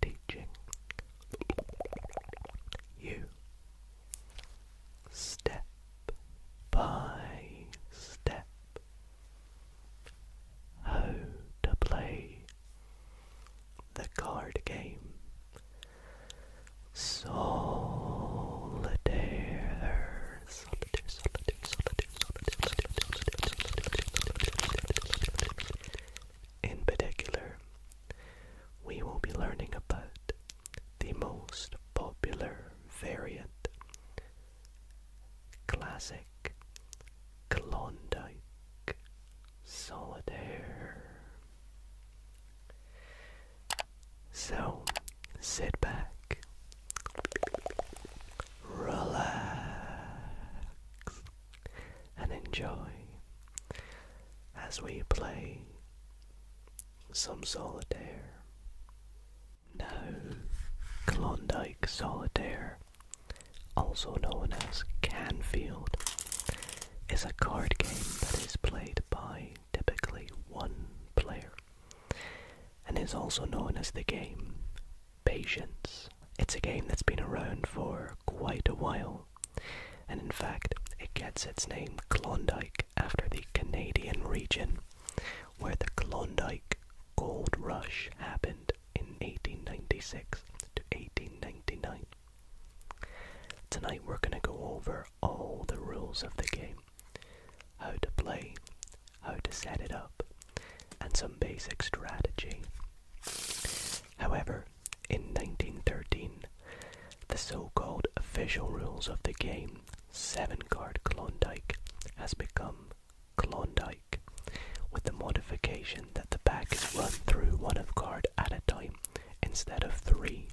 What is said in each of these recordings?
teaching you step by step how to play the card game solitaire in particular, we will be learning about the most popular variant, classic Klondike Solitaire. So, sit back, relax, and enjoy as we play some solitaire. Now, Klondike Solitaire, also known as Canfield, is a card game that is played by typically one player and is also known as the game patience. It's a game that's been around for quite a while, and in fact, it gets its name Klondike after the Canadian region where the Klondike Gold Rush happened in 1896 to 1899. Tonight, we're going to go over all the rules of the game how to play, how to set it up, and some basic strategy However, in 1913, the so-called official rules of the game, seven-card Klondike, has become Klondike, with the modification that the pack is run through one of card at a time instead of three.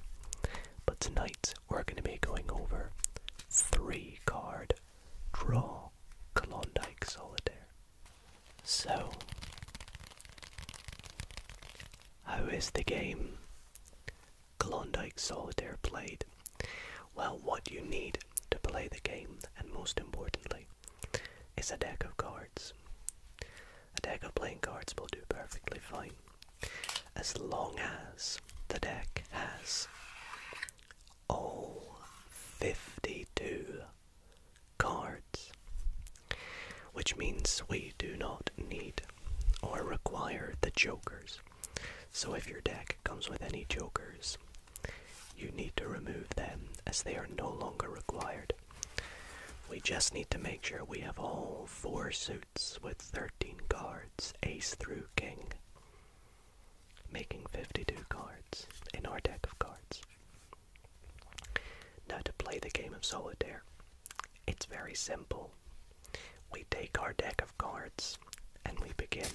But tonight we're going to be going over three-card draw Klondike Solitaire. So, how is the game Klondike Solitaire played? Well, what you need to play the game, and most importantly, is a deck of cards. A deck of playing cards will do perfectly fine as long as the deck has all 52 cards, which means we do not need or require the jokers. So if your deck comes with any jokers, you need to remove them as they are no longer required. We just need to make sure we have all four suits with 13 cards, ace through king making 52 cards in our deck of cards. Now, to play the game of solitaire, it's very simple. We take our deck of cards and we begin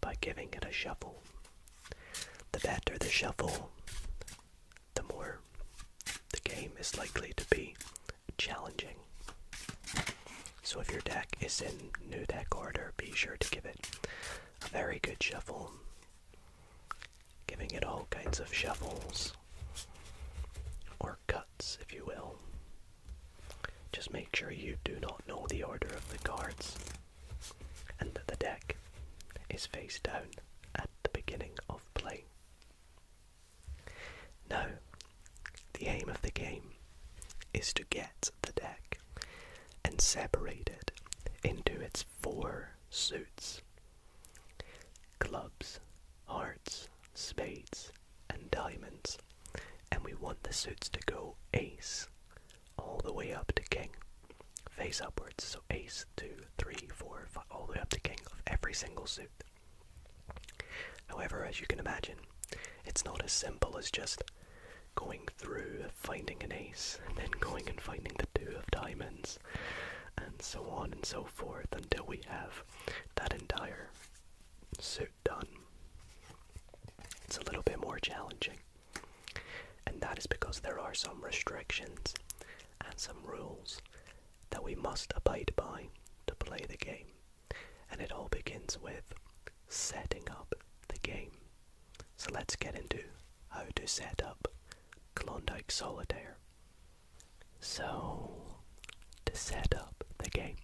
by giving it a shuffle. The better the shuffle, the more the game is likely to be challenging. So if your deck is in new deck order, be sure to give it a very good shuffle, giving it all kinds of shuffles or cuts, if you will. Just make sure you do not know the order of the cards and that the deck is face down at the beginning of play. Now, the aim of the game is to get the deck and separate it into its four suits clubs, hearts, spades, and diamonds. And we want the suits to go ace all the way up to king, face upwards. So ace, two, three, four, five, all the way up to king of every single suit. However, as you can imagine, it's not as simple as just going through finding an ace and then going and finding the two of diamonds and so on and so forth until we have that entire suit done. It's a little bit more challenging. And that is because there are some restrictions and some rules that we must abide by to play the game. And it all begins with setting up the game. So let's get into how to set up Klondike Solitaire. So, to set up the game,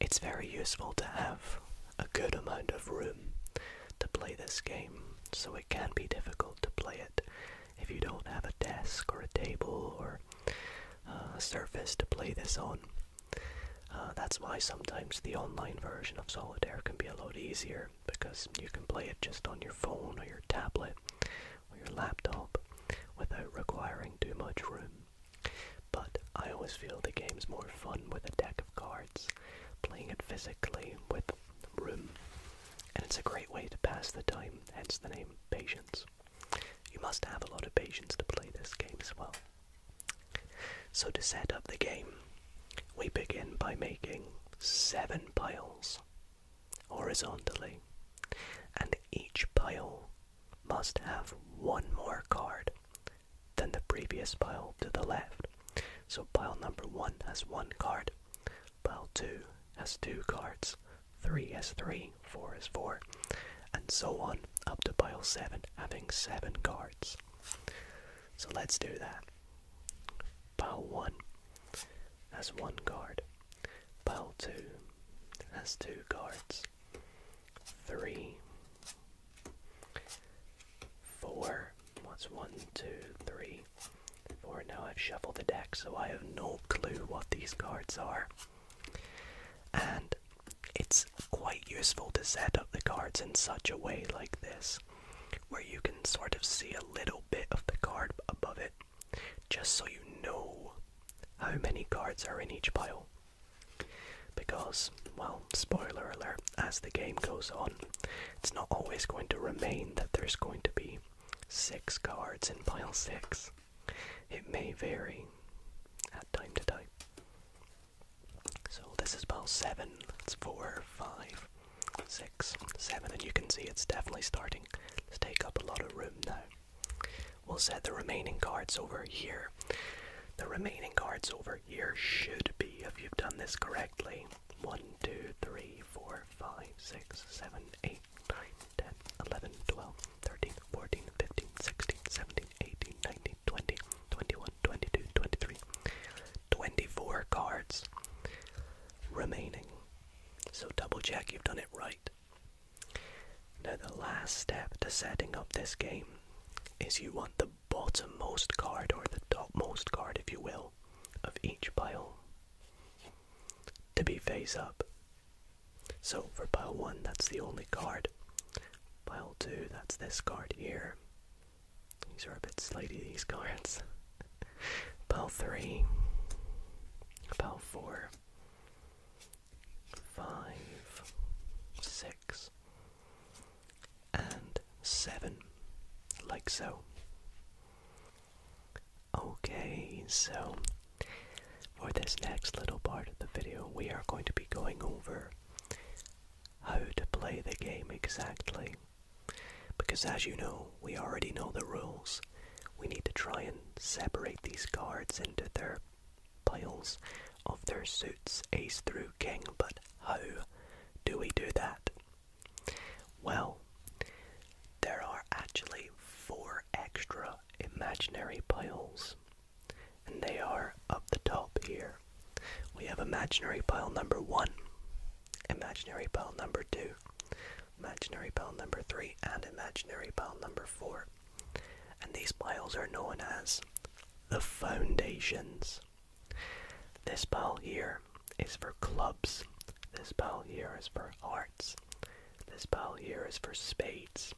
it's very useful to have a good amount of room to play this game, so it can be difficult to play it if you don't have a desk or a table or a uh, surface to play this on. Uh, that's why sometimes the online version of Solitaire can be a lot easier because you can play it just on your phone or your tablet or your laptop without requiring too much room. But I always feel the game's more fun with a deck of cards, playing it physically with room, and it's a great way to pass the time, hence the name Patience. You must have a lot of patience to play this game as well. So, to set up the game, we begin by making seven piles horizontally, and each pile must have one more card than the previous pile to the left. So, pile number one has one card, pile two has two cards, three has three, four has four, and so on up to pile seven, having seven cards. So let's do that. Pile 1 has one card. Pile 2 has two cards. 3 4 What's 1, 2, 3, 4? Now I've shuffled the deck so I have no clue what these cards are. And it's quite useful to set up the cards in such a way like this, where you can sort of see a little bit of the card above it, just so you know how many cards are in each pile. Because, well, spoiler alert, as the game goes on, it's not always going to remain that there's going to be six cards in pile six. It may vary at time to time. So this is about seven. It's four, five, six, seven, and you can see it's definitely starting to take up a lot of room now. We'll set the remaining cards over here. The remaining cards over here should be, if you've done this correctly, 1, 2, 3, 4, 5, 6, 7, 8, 9, 10, 11, 12, 13, 14, 15, 16, 17, 18, 20, 21, 22, 23, 24 cards remaining. So double check you've done it right. Now the last step to setting up this game is you want the bottommost card or the topmost card if you will of each pile to be face up. So for pile 1 that's the only card. Pile 2 that's this card here. These are a bit slaty, these cards. Bell 3, bell four, five, six, and 7, like so. Okay, so for this next little part of the video, we are going to be going over how to play the game exactly. Because as you know, we already know the rules. We need to try and separate these cards into their piles of their suits, ace through king, but how do we do that? Well, there are actually four extra imaginary piles and they are up the top here. We have imaginary pile number one, imaginary pile number two, imaginary pile number three, and imaginary pile number four. And these piles are known as the foundations. This pile here is for clubs, this pile here is for hearts, this pile here is for spades,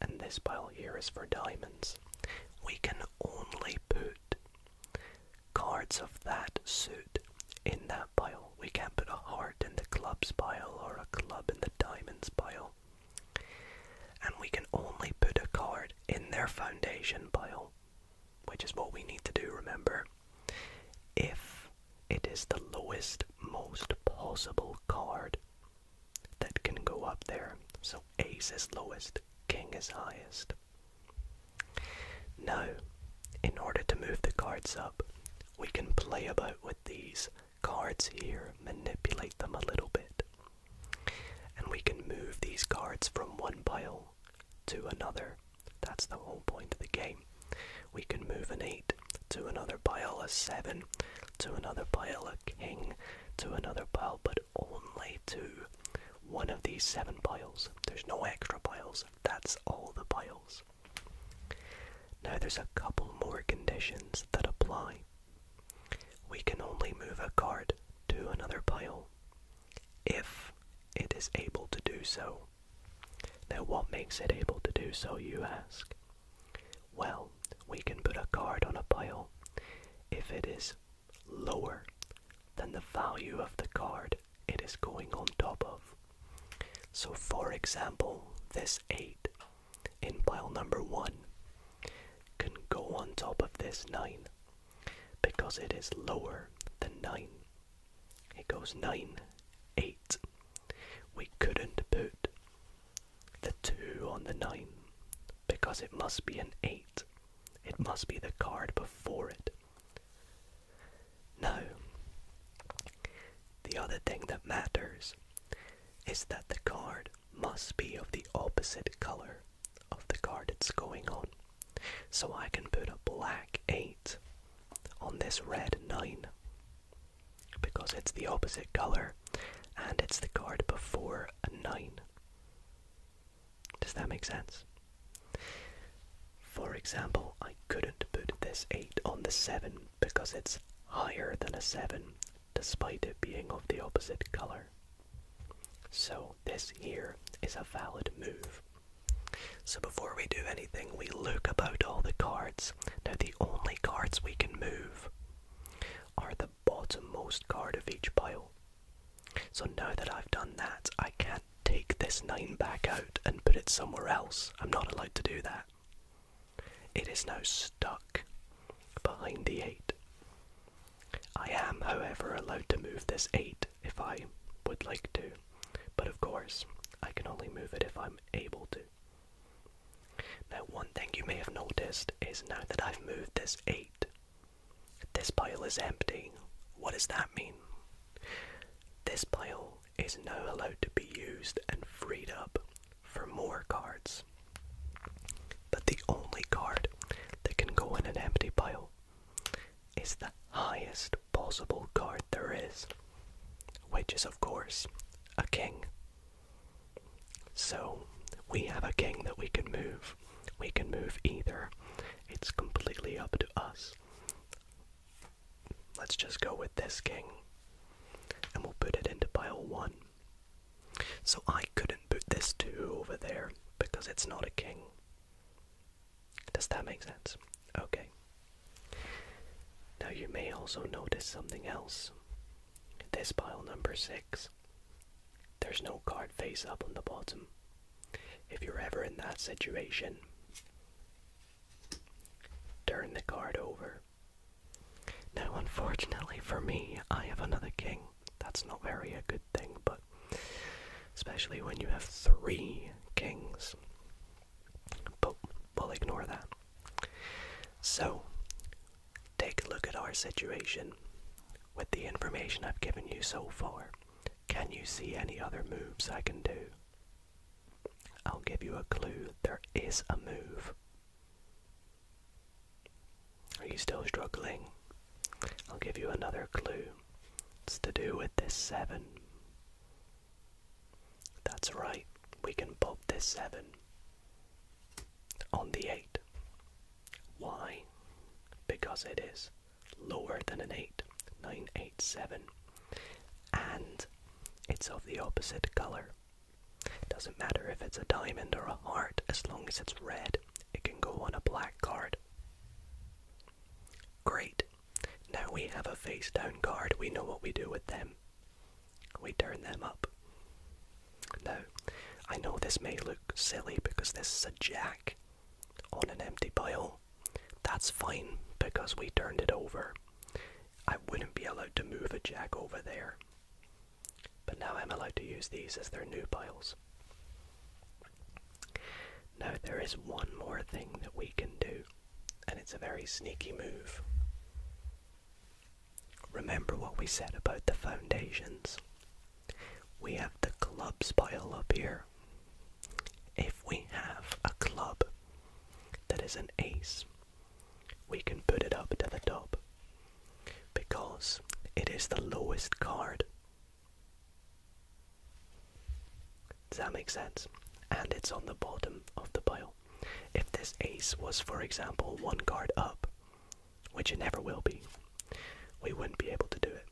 and this pile here is for diamonds we can only put cards of that suit in that pile. We can't put a heart in the clubs pile or a club in the diamonds pile. And we can only put a card in their foundation pile, which is what we need to do, remember, if it is the lowest, most possible card that can go up there. So ace is lowest, king is highest. Now, in order to move the cards up, we can play about with these cards here, manipulate them a little bit. And we can move these cards from one pile to another. That's the whole point of the game. We can move an 8 to another pile, a 7 to another pile, a king to another pile, but only to one of these seven piles. There's no extra piles, that's all the piles. Now there's a couple more conditions that apply. We can only move a card to another pile if it is able to do so. Now, what makes it able to do so, you ask? Well, we can put a card on a pile if it is lower than the value of the card it is going on top of. So, for example, this 8 in pile number 1 can go on top of this 9 because it is lower than 9. It goes 9, 8. We couldn't put the 2 on the 9 because it must be an 8 it must be the card before it. No. The other thing that matters is that the card must be of the opposite color of the card it's going on. So I can put a black 8 on this red 9 because it's the opposite color and it's the card before a 9. Does that make sense? For example, I couldn't put this 8 on the 7 because it's higher than a 7 despite it being of the opposite color. So this here is a valid move. So before we do anything, we look about all the cards. Now the only cards we can move are the the bottommost card of each pile. So now that I've done that, I can't take this 9 back out and put it somewhere else. I'm not allowed to do that. It is now stuck behind the 8. I am, however, allowed to move this 8 if I would like to, but of course, I can only move it if I'm able to. Now, one thing you may have noticed is now that I've moved this 8 this pile is empty. What does that mean? This pile is now allowed to be used and freed up for more cards. But the only card that can go in an empty pile is the highest possible card there is, which is, of course, a king. So we have a king that we can move. We can move either. It's completely up to us. Let's just go with this king. And we'll put it into pile 1. So I couldn't put this 2 over there because it's not a king. Does that make sense? Okay. Now you may also notice something else. This pile number 6 there's no card face up on the bottom. If you're ever in that situation, turn the card over. Now, unfortunately for me, I have another king. That's not very a good thing, but especially when you have three kings. But we'll ignore that. So, Take a look at our situation. With the information I've given you so far, can you see any other moves I can do? I'll give you a clue. There is a move. Are you still struggling? I'll give you another clue. It's to do with this 7. That's right, we can pop this 7 on the 8. Why? Because it is lower than an 8, 987, and it's of the opposite color. doesn't matter if it's a diamond or a heart, as long as it's red, it can go on a black card. Great. Now we have a face down card, we know what we do with them. We turn them up. Now, I know this may look silly because this is a jack on an empty pile. That's fine because we turned it over. I wouldn't be allowed to move a jack over there. But now I'm allowed to use these as their new piles. Now there is one more thing that we can do, and it's a very sneaky move. Remember what we said about the foundations we have the clubs pile up here. If we have a club that is an ace, we can put it up to the top because it is the lowest card. Does that make sense? And it's on the bottom of the pile. If this ace was, for example, one card up, which it never will be, we wouldn't be able to do it.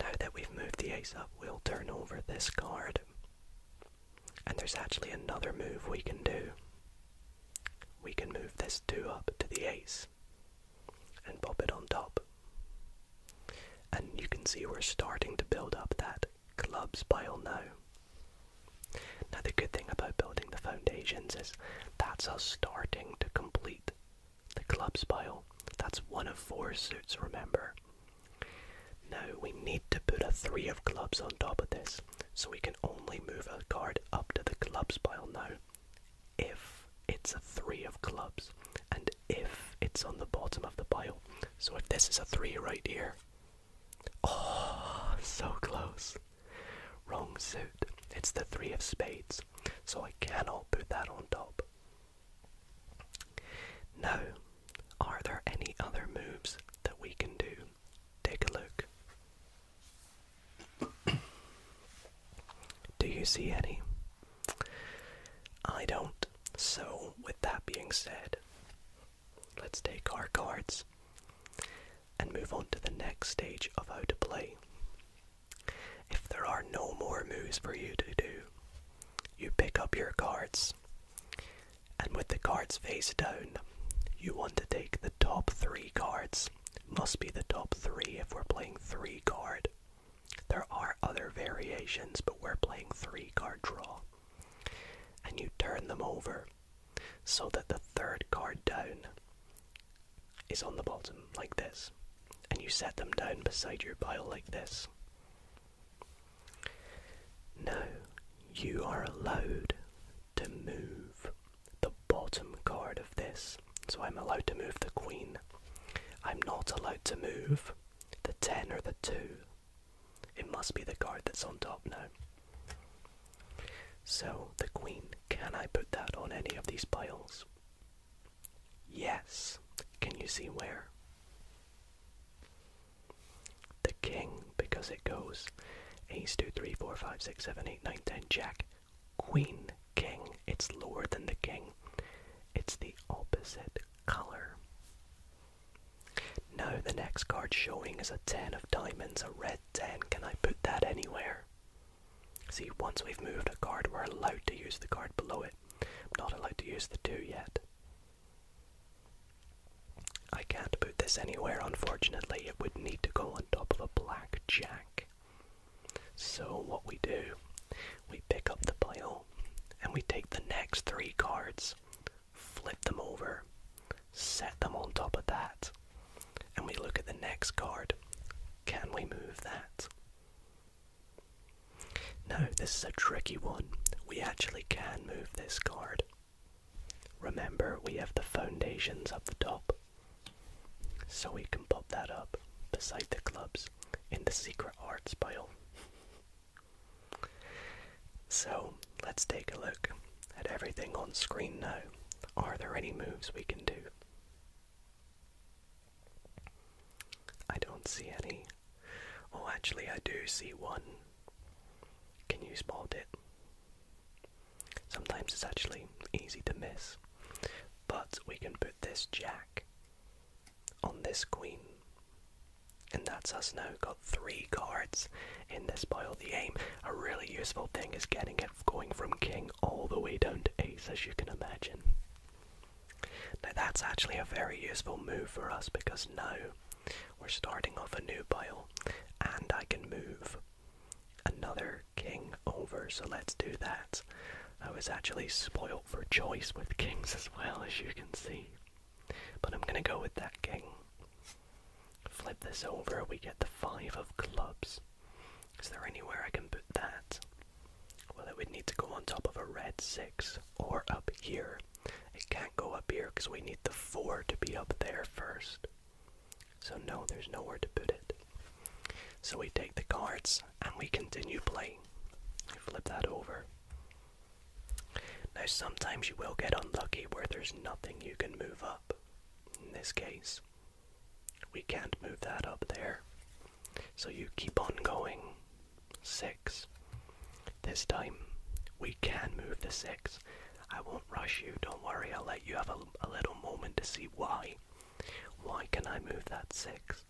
Now that we've moved the ace up, we'll turn over this card. And there's actually another move we can do. We can move this 2 up to the ace and pop it on top. And you can see we're starting to build up that clubs pile now. Now, the good thing about building the foundations is that's us starting to complete the club's pile. That's one of four suits, remember. Now, we need to put a three of clubs on top of this, so we can only move a card up to the club's pile now if it's a three of clubs and if it's on the bottom of the pile. So if this is a three right here, oh, so close. Wrong suit. It's the three of spades, so I cannot put that on top. No, are there any other moves that we can do? Take a look. do you see any? I don't. So, with that being said, let's take our cards and move on to the next stage of how to play. If there are no more moves for you to do, you pick up your cards, and with the cards face down, you want to take the top three cards. Must be the top three if we're playing three card. There are other variations, but we're playing three card draw. And you turn them over so that the third card down is on the bottom, like this, and you set them down beside your pile, like this. Now, you are allowed to move the bottom card of this, so I'm allowed to move the queen. I'm not allowed to move the 10 or the 2. It must be the card that's on top now. So, the queen, can I put that on any of these piles? Yes. Can you see where? The king, because it goes ace, 2, 3, 4, 5, 6, 7, 8, 9, 10, jack, queen, king. It's lower than the king, it's the opposite color. Now, the next card showing is a 10 of diamonds, a red 10, can I put that anywhere? See, once we've moved a card, we're allowed to use the card below it. I'm not allowed to use the 2 yet. I can't put this anywhere, unfortunately. It would need to go on top of a black jack. So, what we do, we pick up the pile and we take the next three cards, flip them over, set them on top of that, and we look at the next card. Can we move that? No, this is a tricky one. We actually can move this card. Remember, we have the foundations up the top. So we can pop that up beside the clubs in the secret arts pile. So let's take a look at everything on screen now, are there any moves we can do? I don't see any. Oh, actually, I do see one. Can you spot it? Sometimes it's actually easy to miss. But we can put this jack on this queen. And that's us now, got three cards in this pile. The aim, a really useful thing, is getting it going from king all the way down to ace, as you can imagine. Now that's actually a very useful move for us because now we're starting off a new pile and I can move another king over, so let's do that. I was actually spoilt for choice with kings as well, as you can see. But I'm gonna go with that king. Flip this over, we get the five of clubs. Is there anywhere I can put that? Well, it would need to go on top of a red six or up here. It can't go up here because we need the four to be up there first. So, no, there's nowhere to put it. So, we take the cards and we continue playing. We flip that over. Now, sometimes you will get unlucky where there's nothing you can move up. In this case, we can't move that up there. So you keep on going. 6. This time, we can move the 6. I won't rush you, don't worry, I'll let you have a little moment to see why. Why can I move that 6?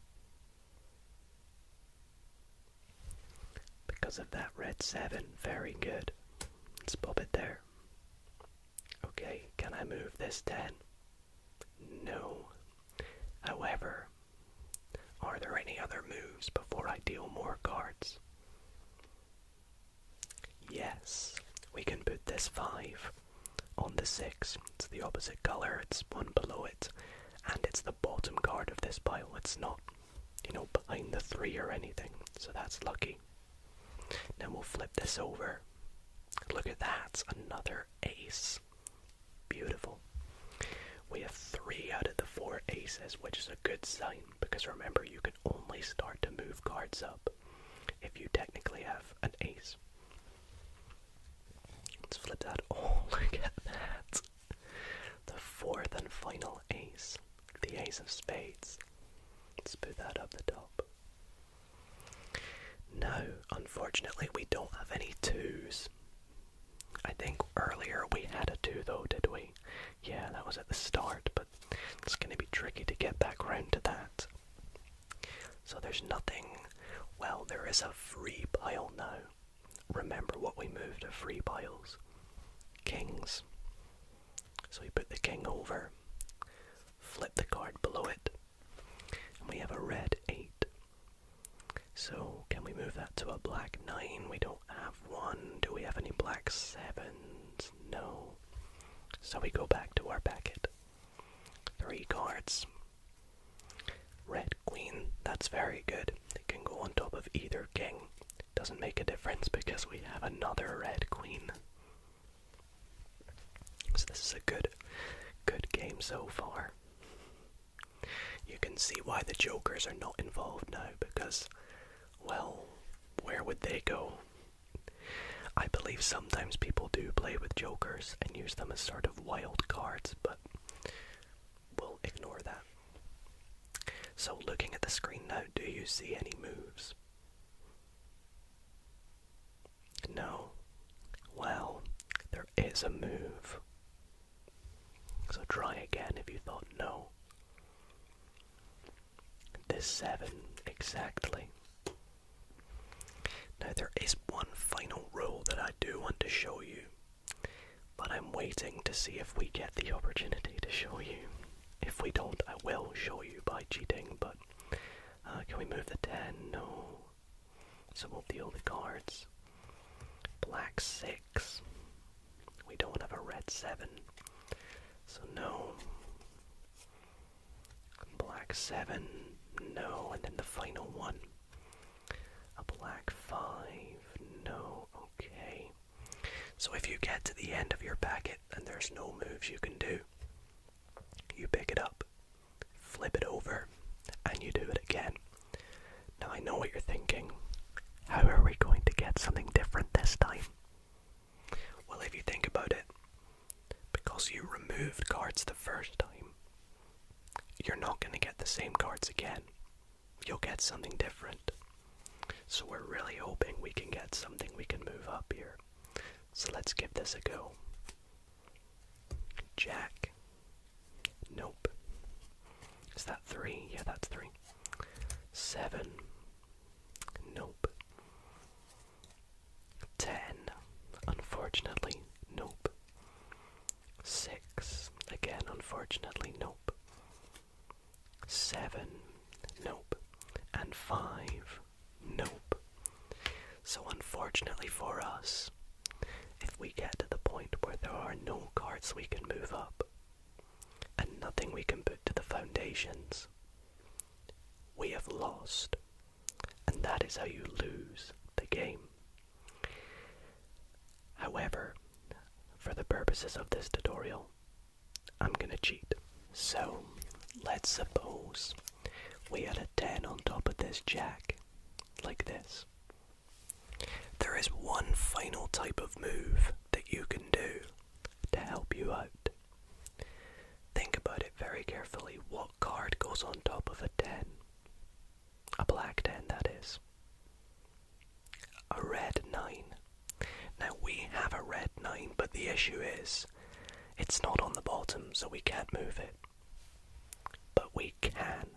Because of that red 7. Very good. Let's pop it there. Okay, can I move this 10? No. However, are there any other moves before I deal more cards? Yes, we can put this 5 on the 6. It's the opposite colour, it's one below it, and it's the bottom card of this pile. It's not, you know, behind the 3 or anything, so that's lucky. Then we'll flip this over. Look at that, another ace. Beautiful. We have three out of the four aces, which is a good sign because remember, you can only start to move cards up if you technically have an ace. Let's flip that. Oh, look at that. The fourth and final ace the ace of spades. Let's put that up the top. Now, unfortunately, we don't have any twos. I think earlier we had a two though, did we? Yeah, that was at the start, but it's going to be tricky to get back round to that. So there's nothing. Well, there is a free pile now. Remember what we moved a free piles. Kings. So we put the king over, flip the card below it, and we have a red 8. So can we move that to a black 9? We don't have one. Do we have any black 7s? No. So we go back to our packet. Three cards. Red queen, that's very good. It can go on top of either king. Doesn't make a difference because we have another red queen. So this is a good good game so far. You can see why the jokers are not involved now because well, where would they go? I believe sometimes people do play with jokers and use them as sort of wild cards, but we'll ignore that. So, looking at the screen now, do you see any moves? No. Well, there is a move. So try again if you thought no. This seven, exactly. Now, there is one final rule that I do want to show you, but I'm waiting to see if we get the opportunity to show you. If we don't, I will show you by cheating, but uh, can we move the 10? No. So we'll deal the cards. Black 6. We don't have a red 7. So no. Black 7. No. And then the final one. A black 5. No. Okay. So if you get to the end of your packet and there's no moves you can do. You pick it up, flip it over, and you do it again. Now I know what you're thinking. How are we going to get something different this time? Well, if you think about it, because you removed cards the first time, you're not going to get the same cards again. You'll get something different. So we're really hoping we can get something we can move up here. So let's give this a go. Jack. Nope. Is that three? Yeah, that's three. Seven. Nope. Ten. Unfortunately, nope. Six. Again, unfortunately, nope. Seven. Nope. And five. Nope. So, unfortunately for us, if we get to the point where there are no cards we can move up and nothing we can put to the foundations, we have lost. And that is how you lose the game. However, for the purposes of this tutorial, I'm gonna cheat. So let's suppose we had a 10 on top of this jack, like this. There is one final type of move that you can do to help you out. Think about it very carefully. What card goes on top of a 10? A black 10, that is. A red 9. Now we have a red 9, but the issue is it's not on the bottom, so we can't move it. But we can.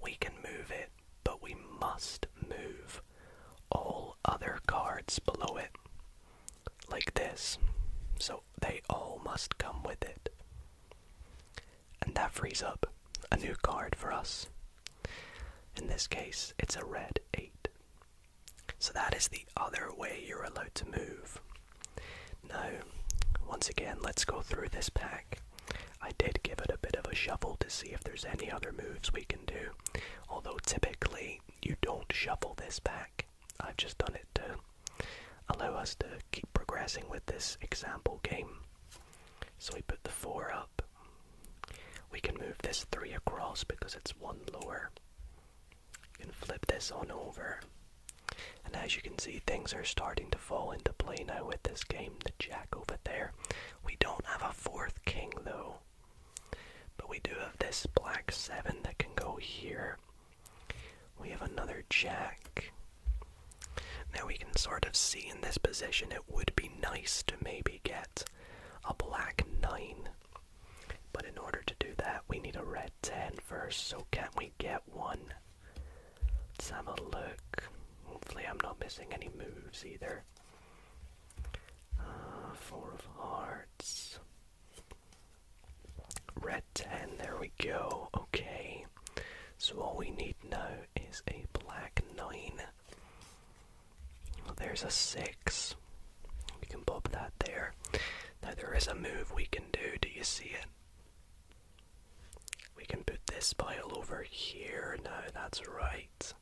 We can move it, but we must move all other cards below it. Like this. So they all must come with it. And that frees up a new card for us. In this case, it's a red 8. So that is the other way you're allowed to move. Now, once again, let's go through this pack. I did give it a bit of a shuffle to see if there's any other moves we can do, although typically you don't shuffle this pack. I've just done it to allow us to keep progressing with this example game. So we put the 4 up. We can move this 3 across because it's 1 lower can flip this on over. And as you can see, things are starting to fall into play now with this game. The jack over there. We don't have a fourth king though. But we do have this black seven that can go here. We have another jack. Now we can sort of see in this position it would be nice to maybe get a black nine but in order to do that, we need a red ten first. so can we get one? Let's have a look. Hopefully, I'm not missing any moves either. Uh, four of hearts. Red 10, there we go. Okay. So all we need now is a black 9 there's a six. We can pop that there. Now there is a move we can do. Do you see it? We can put this pile over here now, that's right.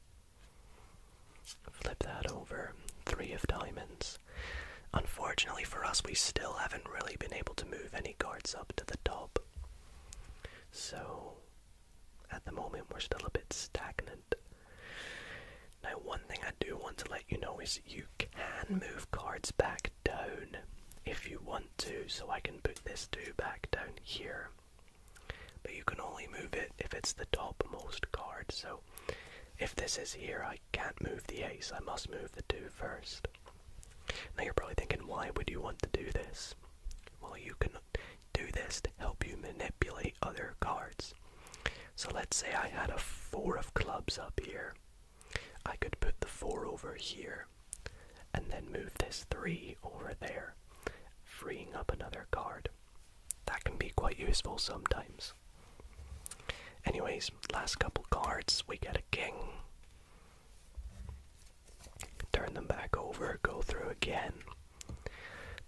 Flip that over. Three of diamonds. Unfortunately for us, we still haven't really been able to move any cards up to the top. So, at the moment, we're still a bit stagnant. Now, one thing I do want to let you know is you can move cards back down if you want to, so I can put this 2 back down here. But you can only move it if it's the topmost card, so if this is here, I can't move the ace, I must move the two first. Now you're probably thinking, why would you want to do this? Well, you can do this to help you manipulate other cards. So let's say I had a four of clubs up here. I could put the four over here and then move this three over there, freeing up another card. That can be quite useful sometimes. Anyways, last couple cards, we get a king. Turn them back over, go through again.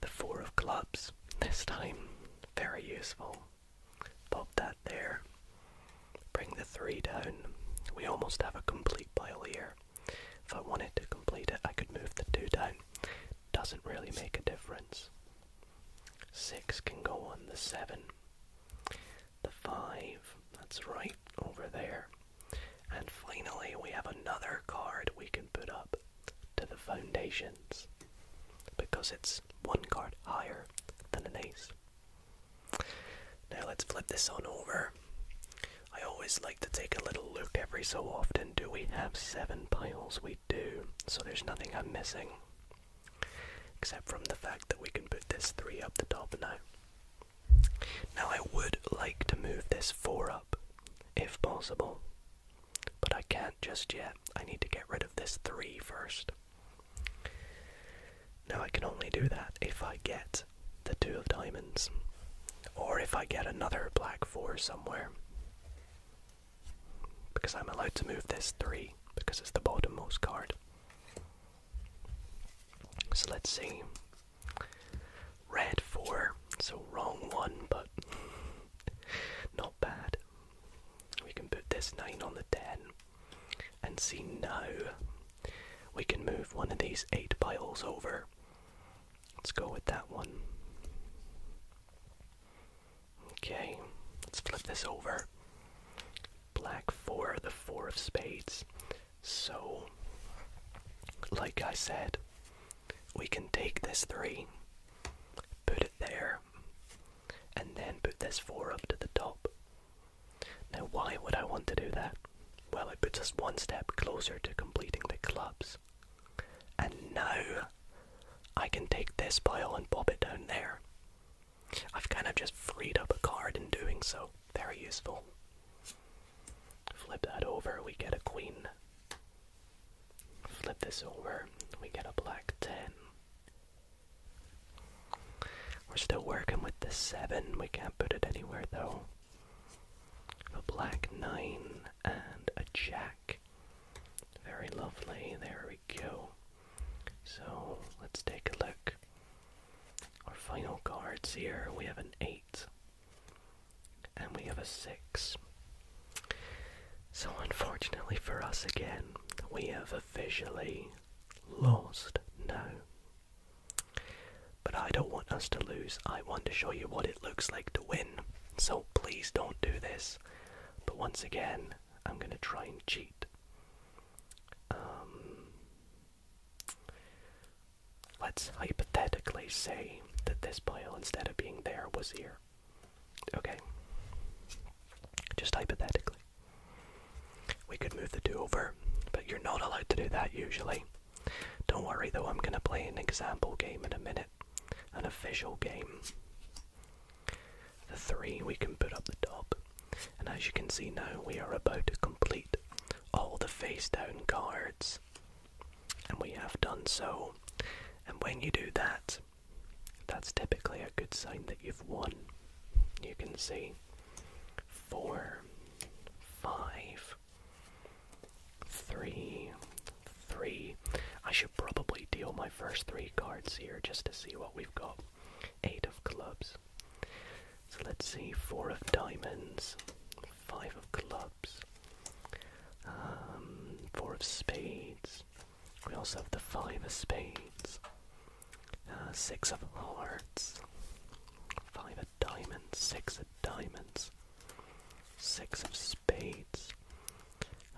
The four of clubs this time. Very useful. Pop that there. Bring the three down. We almost have a complete pile here. If I wanted to complete it, I could move the two down. Doesn't really make a difference. Six can go on the seven. The five, that's right, over there. And finally, we have another card we can put up to the foundations because it's one card higher than an ace. Now let's flip this on over. I always like to take a little look every so often. Do we have seven piles? We do, so there's nothing I'm missing. Except from the fact that we can put this three up the top now. Now I would like to move this four up, if possible. But I can't just yet. I need to get rid of this 3 first. Now I can only do that if I get the 2 of diamonds. Or if I get another black 4 somewhere. Because I'm allowed to move this 3 because it's the bottommost card. So let's see. Red 4. So wrong one, but not bad. We can put this 9 on the 10 and see now we can move one of these 8 piles over. Let's go with that one. Okay, let's flip this over. Black 4, the 4 of spades. So, like I said, we can take this 3, put it there, and then put this 4 up to the top. Now, why would I want to do that? Well, it puts us one step closer to completing the clubs. And now I can take this pile and pop it down there. I've kind of just freed up a card in doing so. Very useful. Flip that over, we get a queen. Flip this over, we get a black 10. We're still working with the 7, we can't put it anywhere though. A black 9 and a jack. Very lovely, there we go. So let's take a look. Our final cards here we have an 8 and we have a 6. So, unfortunately for us again, we have officially lost now. But I don't want us to lose, I want to show you what it looks like to win. So, please don't do this. But once again, I'm going to try and cheat. Um, let's hypothetically say that this pile, instead of being there, was here. Okay. Just hypothetically. We could move the 2 over, but you're not allowed to do that usually. Don't worry though, I'm going to play an example game in a minute, an official game. The 3 we can put up the top, and as you can see now, we are about to complete all the face down cards. And we have done so. And when you do that, that's typically a good sign that you've won. You can see four, five, three, three. I should probably deal my first three cards here just to see what we've got. Eight of clubs. So let's see, four of diamonds, five of clubs, um, four of spades, we also have the five of spades, uh, six of hearts, five of diamonds, six of diamonds, six of spades.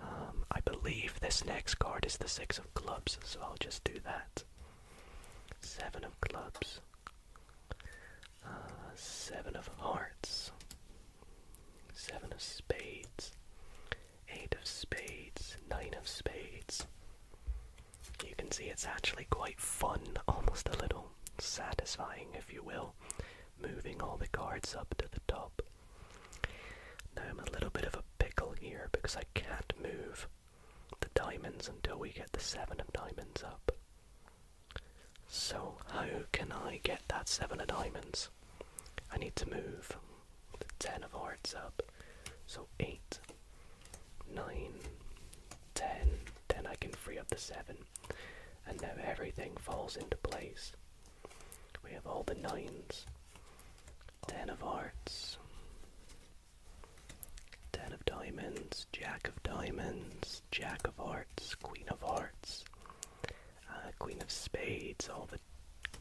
Um, I believe this next card is the six of clubs, so I'll just do that. Seven of clubs, uh, seven of hearts, Seven of spades. Eight of spades. Nine of spades. You can see it's actually quite fun, almost a little satisfying, if you will, moving all the cards up to the top. Now I'm a little bit of a pickle here because I can't move the diamonds until we get the seven of diamonds up. So how can I get that seven of diamonds? I need to move the ten of hearts up. So eight, nine, ten. Then I can free up the seven. And now everything falls into place. We have all the nines. Ten of hearts. Ten of diamonds. Jack of diamonds. Jack of hearts. Queen of hearts. Uh, queen of spades. All the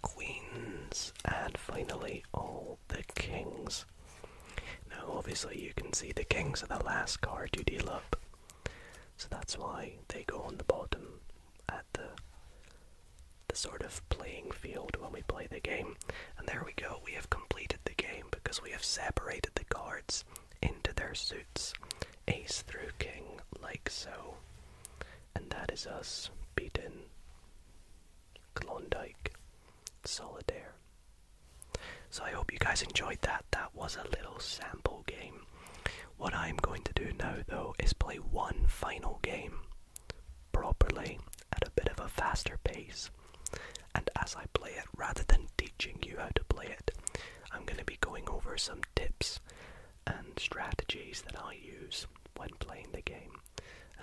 queens, and finally all the kings. Now, obviously, you can see the kings are the last card to deal up, so that's why they go on the bottom at the the sort of playing field when we play the game. And there we go, we have completed the game because we have separated the cards into their suits, ace through king, like so and that is us beaten Klondike Solitaire. So I hope you guys enjoyed that. That was a little sample game. What I'm going to do now though is play one final game properly at a bit of a faster pace. And as I play it, rather than teaching you how to play it, I'm going to be going over some tips and strategies that I use when playing the game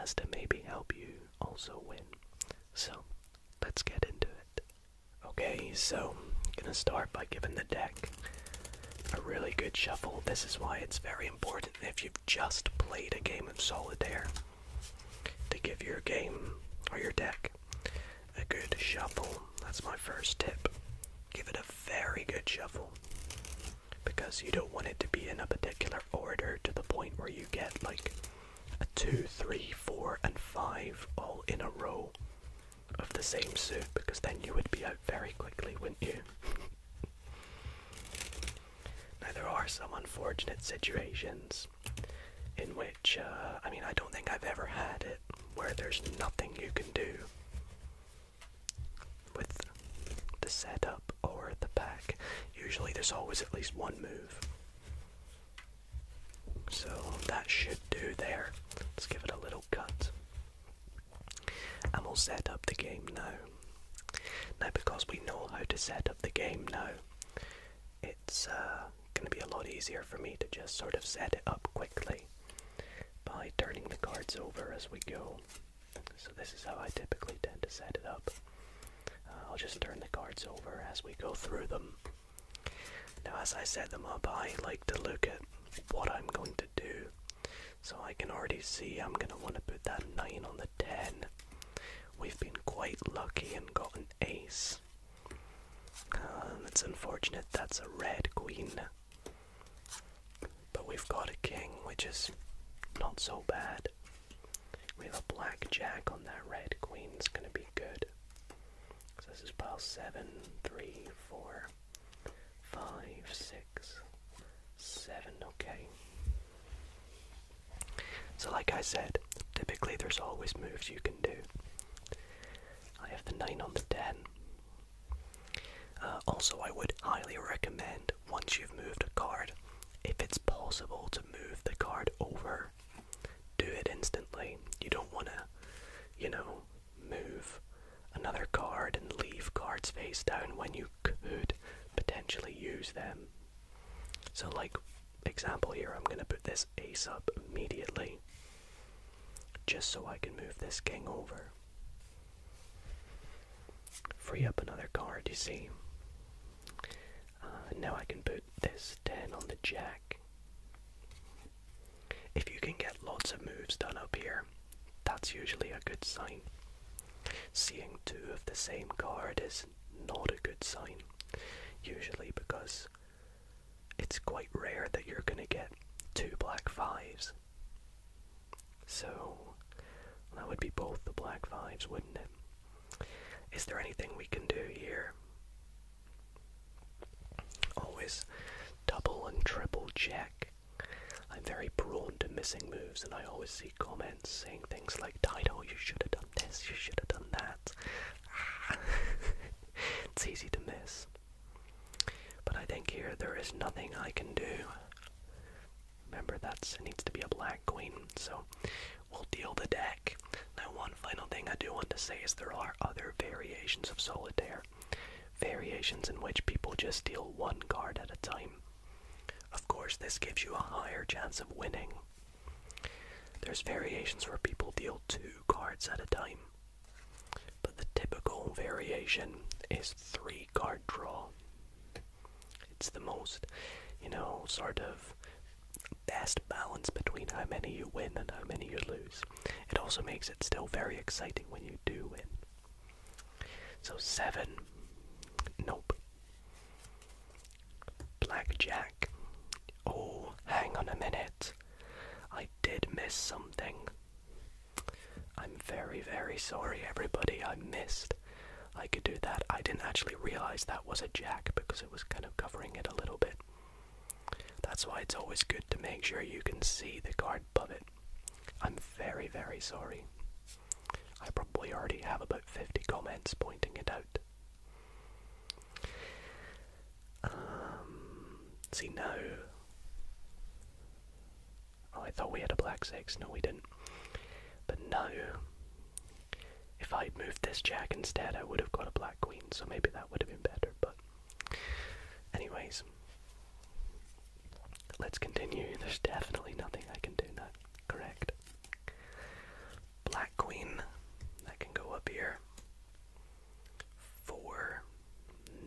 as to maybe help you also win. So let's get into it. Okay, so I'm gonna start by giving the deck a really good shuffle. This is why it's very important if you've just played a game of solitaire to give your game or your deck a good shuffle. That's my first tip give it a very good shuffle because you don't want it to be in a particular order to the point where you get like a 2, 3, 4, and 5 all in a row of the same suit because then you would be out very quickly, wouldn't you? now, there are some unfortunate situations in which, uh, I mean, I don't think I've ever had it where there's nothing you can do with the setup or the pack. Usually there's always at least one move. So that should do there. Let's give it a little cut. And we'll set up the game now. Now because we know how to set up the game now, it's uh, going to be a lot easier for me to just sort of set it up quickly by turning the cards over as we go. So, this is how I typically tend to set it up. Uh, I'll just turn the cards over as we go through them. Now, as I set them up, I like to look at what I'm going to do. So, I can already see I'm going to want to put that 9 on the 10. We've been quite lucky and got an ace. Um, it's unfortunate that's a red queen. But we've got a king, which is not so bad. We have a black jack on that red queen, it's gonna be good. So this is pile 7, 3, 4, 5, 6, 7, okay. So, like I said, typically there's always moves you can do. I have the 9 on the 10. Uh, also, I would highly recommend once you've moved a card, if it's possible to move the card over, do it instantly. You don't want to, you know, move another card and leave cards face down when you could potentially use them. So, like, example here, I'm going to put this ace up immediately just so I can move this king over. Free up another card, you see. Uh, now I can put this 10 on the jack. If you can get lots of moves done up here, that's usually a good sign. Seeing two of the same card is not a good sign, usually because it's quite rare that you're going to get two black fives so, that would be both the black fives, wouldn't it? Is there anything we can do here? Always double and triple check. I'm very prone to missing moves, and I always see comments saying things like, Dido, you should have done this, you should have done that. it's easy to miss. But I think here there is nothing I can do. Remember, that needs to be a black queen, so we'll deal the deck. Now, one final thing I do want to say is there are other variations of solitaire, variations in which people just deal one card at a time. Of course, this gives you a higher chance of winning. There's variations where people deal two cards at a time. But the typical variation is three card draw. It's the most, you know, sort of best balance between how many you win and how many you lose. It also makes it still very exciting when you do win. So seven. Nope. Blackjack. Oh, hang on a minute. I did miss something. I'm very, very sorry, everybody. I missed. I could do that. I didn't actually realize that was a jack because it was kind of covering it a little bit. That's why it's always good to make sure you can see the card above it. I'm very, very sorry. I probably already have about 50 comments pointing it out. Um, see, now Oh, I thought we had a black six. No, we didn't. But no, if I'd moved this jack instead, I would have got a black queen, so maybe that would have been better. But, anyways, let's continue. There's definitely nothing I can do now. Correct. Black queen. That can go up here. Four.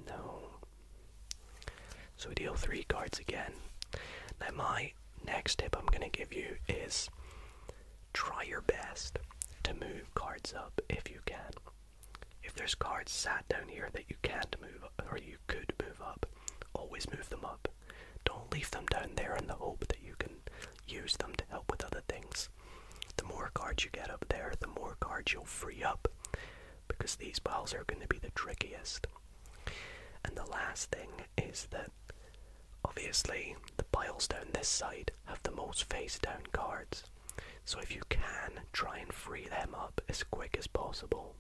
No. So we deal three cards again. Now, my next tip I'm going to give you is try your best to move cards up if you can. If there's cards sat down here that you can't move or you could move up, always move them up. Don't leave them down there in the hope that you can use them to help with other things. The more cards you get up there, the more cards you'll free up because these balls are going to be the trickiest. And the last thing is that obviously the piles down this side have the most face down cards. So if you can, try and free them up as quick as possible.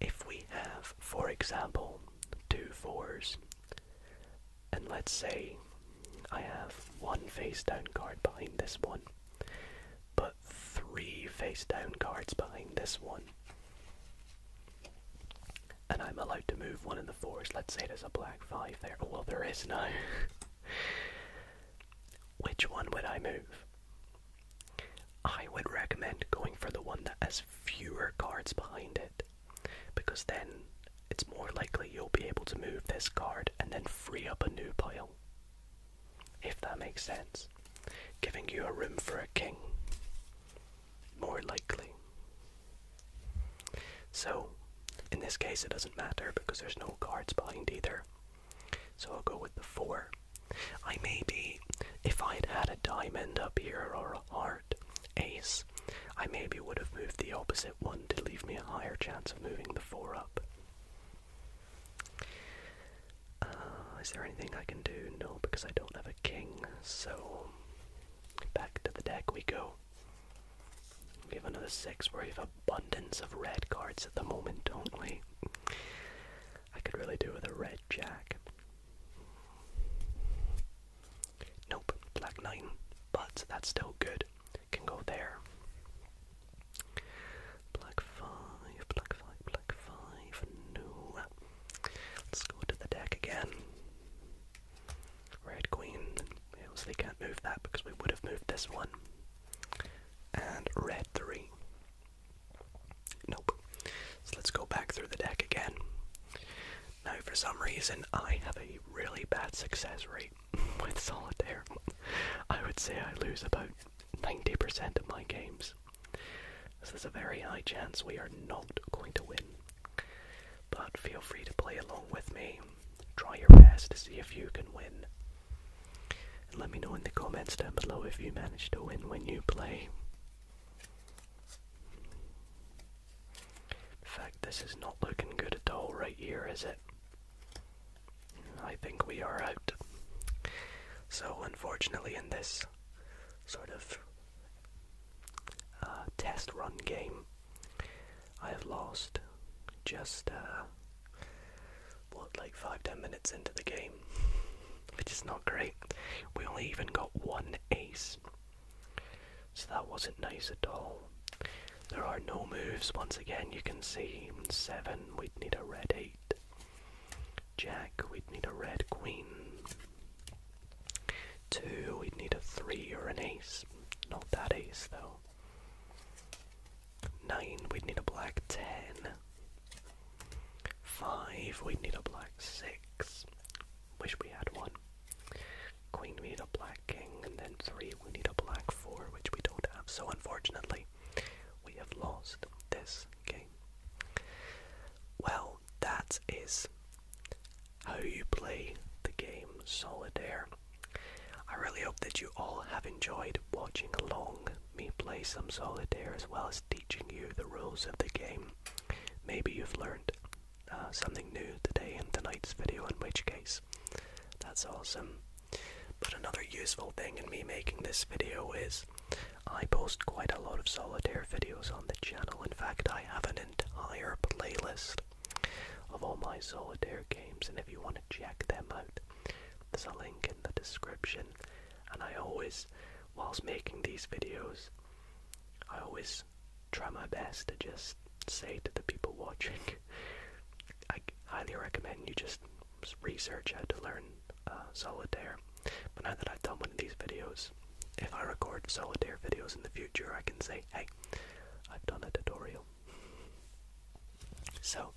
If we have, for example, two fours, and let's say I have one face down card behind this one, Put three face down cards behind this one. And I'm allowed to move one of the fours. Let's say there's a black five there. Oh, well, there is no. Which one would I move? I would recommend going for the one that has fewer cards behind it because then it's more likely you'll be able to move this card and then free up a new pile if that makes sense. Giving you a room for a king, more likely. So, in this case, it doesn't matter because there's no cards behind either. So I'll go with the four. I maybe, if I'd had a diamond up here or a heart, ace, I maybe would have moved the opposite one to leave me a higher chance of moving the four up. Uh, is there anything I can do? No, because I don't have a king, so back to the deck we go. We have another six where we have abundance of red cards at the moment, don't we? I could really do with a red jack. Nope, black nine, but that's still good can go there. Black five, black five, black five. No. Let's go to the deck again. Red queen. obviously can't move that because we would have moved this one. And red three. Nope. So let's go back through the deck again. Now, for some reason, I have a really bad success rate with solitaire, I would say I lose about 90% of my games. So there's a very high chance we are not going to win. But feel free to play along with me. Try your best to see if you can win. let me know in the comments down below if you manage to win when you play. In fact, this is not looking good at all right here, is it? I think we are out. So, unfortunately, in this sort of uh, test run game, I have lost just, uh, what, like five ten minutes into the game, which is not great. We only even got one ace, so that wasn't nice at all. There are no moves. Once again, you can see 7, we'd need a red 8. Jack, we'd need a red queen. 2, we'd need a 3 or an ace. Not that ace, though. 9, we'd need a black 10. 5, we'd need a black 6. Wish we had one. Queen, we need a black king, and then 3, we need a black 4, which we don't have. So, unfortunately, we have lost this game. Well, that is how you play the game Solitaire. I really hope that you all have enjoyed watching along me play some Solitaire as well as teaching you the rules of the game. Maybe you've learned uh, something new today in tonight's video, in which case, that's awesome. But another useful thing in me making this video is I post quite a lot of solitaire videos on the channel. In fact, I have an entire playlist of all my solitaire games, and if you want to check them out, there's a link in the description. And I always, whilst making these videos, I always try my best to just say to the people watching, I highly recommend you just research, I had to learn uh, solitaire. But now that I've done one of these videos, if I record solitaire videos in the future, I can say, hey, I've done a tutorial. So,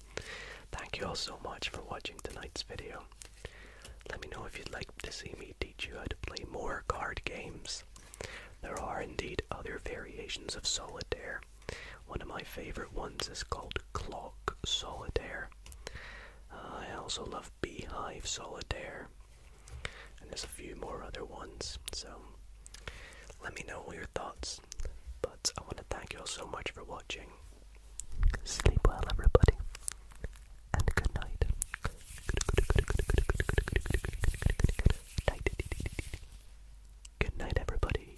thank you all so much for watching tonight's video. Let me know if you'd like to see me teach you how to play more card games. There are indeed other variations of solitaire. One of my favorite ones is called Clock Solitaire. Uh, I also love Beehive Solitaire. And there's a few more other ones, so let me know your thoughts. But I want to thank you all so much for watching. Sleep well, everybody, and good night. Good night, everybody.